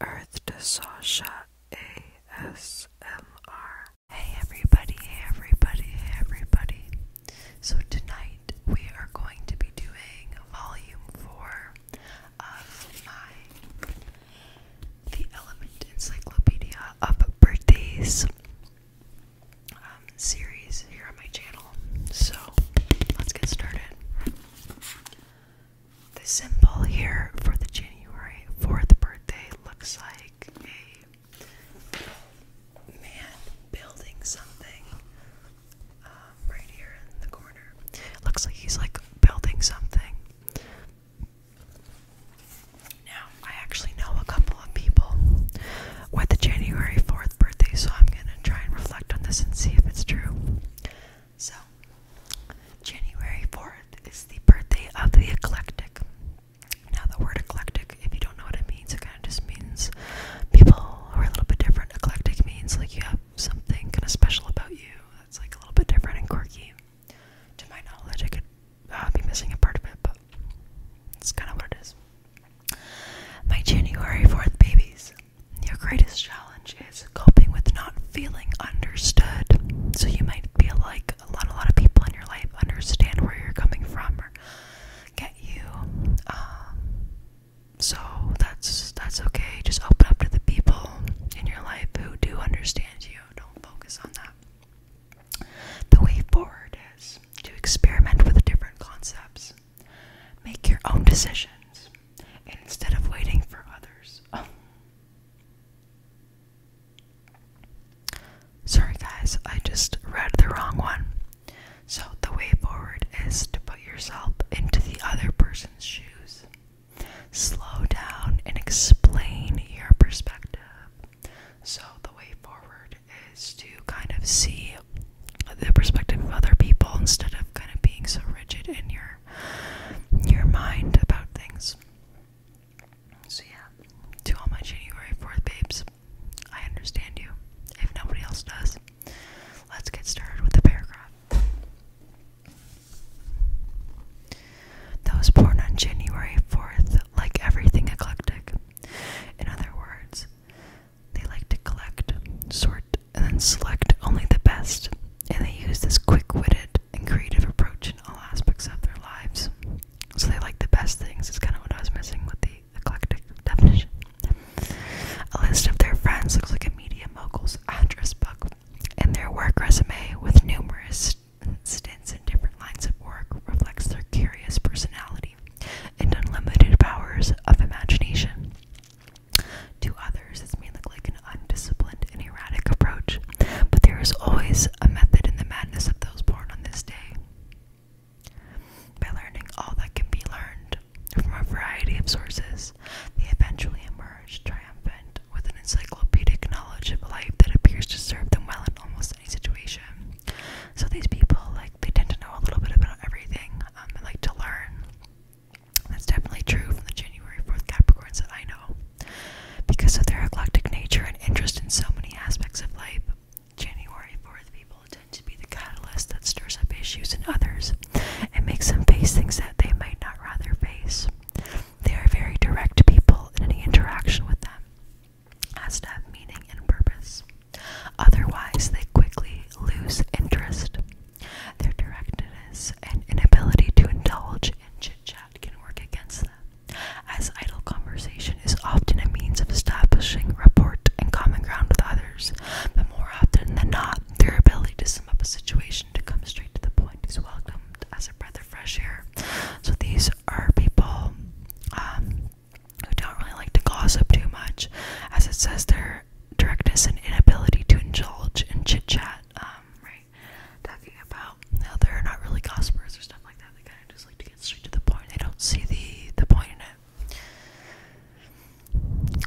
Earth to Sasha ASMR. Hey everybody, hey everybody, hey everybody. So tonight we are going to be doing volume four of my The Element Encyclopedia of Birthdays um, series here on my channel. So let's get started. The symbol here for the January 4th birthday looks like a man building something um, right here in the corner. Looks like he's like building something. Now, I actually know a couple of people with the January 4th birthday, so I'm gonna try and reflect on this and see if it's true. So, January 4th is the birthday of the eclectic. Now, the word eclectic, if you don't know what it means, it kind of just means people who are a little bit different. Eclectic means like you have something kind of special about you that's like a little bit different and quirky. To my knowledge, I could uh, be missing a part of it, but that's kind of what it is. My January 4th babies. Your greatest challenge is coping with not feeling understood. So you might feel like a lot, a lot of people in your life understand where you're coming from or get you. Um, so that's that's okay. Just open up to the people in your life who do understand you. Don't focus on that. The way forward is to experiment with different concepts. Make your own decisions instead of waiting for others. Oh. Sorry, guys, I just read the wrong one. So, the way forward is to put yourself into the other person's shoes. Slow down and explain your perspective. So, the way forward is to kind of see the perspective of other people instead of kind of being so rigid in your your mind about things. So yeah, to all my January 4th babes, I understand you. If nobody else does, let's get started with the paragraph. That was born on January 4th, like everything eclectic. In other words, they like to collect, sort, and then select only the best, and they use this quick witted and creative approach in all aspects of their lives. So they like the best things, is kind of what I was missing with the eclectic definition. A list of their friends looks like a media mogul's address book, and their work resume, with numerous stints in different lines of work, reflects their curious personality and unlimited powers of imagination. To others, this may look like an undisciplined and erratic approach, but there is always a method in the madness of those born on this day. By learning all that can be learned from a variety of sources, they eventually emerge triumphant with an encyclopedic knowledge of life that appears to serve them well in almost any situation. So these people, like, they tend to know a little bit about everything um, and like to learn. That's definitely true from the January 4th Capricorns that I know. Because of their eclectic nature and interest in so many aspects of life, January 4th people tend to be the catalyst that stirs up issues in others and makes them face things that they might not rather face. They are very direct people in any interaction with them has to have meaning and purpose. Otherwise, they quickly lose interest. Their directedness and inability to indulge in chit chat can work against them, as idle conversation is often a means of establishing rapport and common ground with others. But more often than not, their ability to sum up a situation to come straight to the point is welcomed as a breath of fresh air. So these are people um, who don't really like to gossip too much, as it says their directness and inability to indulge in chit chat. Um, right, talking about how they're not really gossipers or stuff like that. They kind of just like to get straight to the point. They don't see the the point in it.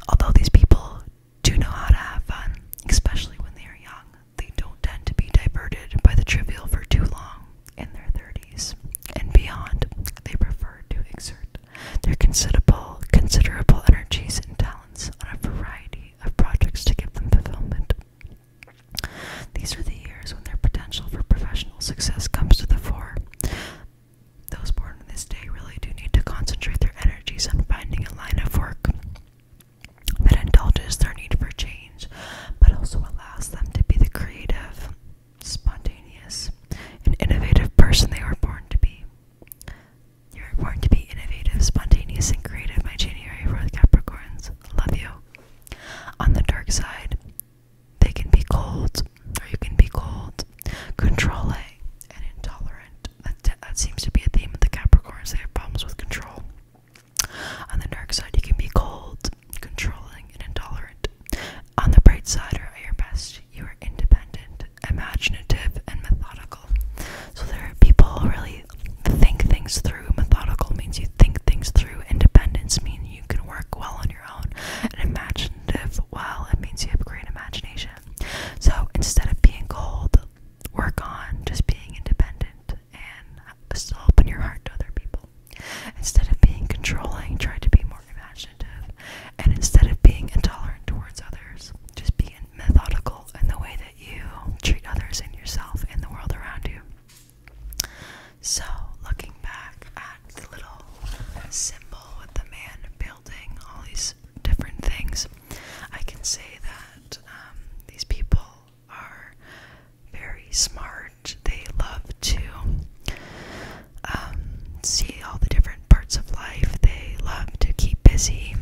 Although these people do know how to have fun, especially when they are young, they don't tend to be diverted by the trivial for too long in their 30s and beyond, they prefer to exert their considerable, considerable energies and talents on a variety of projects to give them fulfillment. These are the years when their potential for professional success comes to the fore. Those born in this day really do need to concentrate their energies on finding a line of work that indulges their need for change but also allows them to be the creative, spontaneous, and innovative person they are born to be. You are born to be innovative, spontaneous, and creative, my January 4th Capricorns. Love you. On the dark side, they can be cold, or you can be cold, controlling, and intolerant. That, that seems to be a theme of the Capricorns. They have problems with control. On the dark side, you can be cold, controlling, and intolerant. On the bright side, or at your best, you are independent, imaginative, and methodical. So there are people who really think things through. Methodical means you think things through. Independence means you can work well on your own. And imaginative, well, it means you have great imagination. So instead of being cold, work on just being independent and still open your heart to other people. Instead of being controlling, try to be more imaginative. And instead of being intolerant towards others, just be methodical in the way that you treat others and yourself and the world around you. So, looking back at the little symbol with the man building all these different things, I can say that um, these people are very smart. They love to um, see all the different parts of life. They love to keep busy.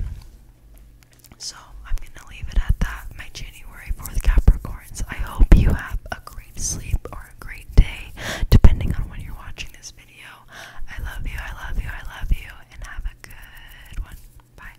So I'm gonna leave it at that. My January 4th Capricorns. I hope you have a great sleep or a great day, depending on when you're watching this video. I love you, I love you, I love you, and have a good one. Bye.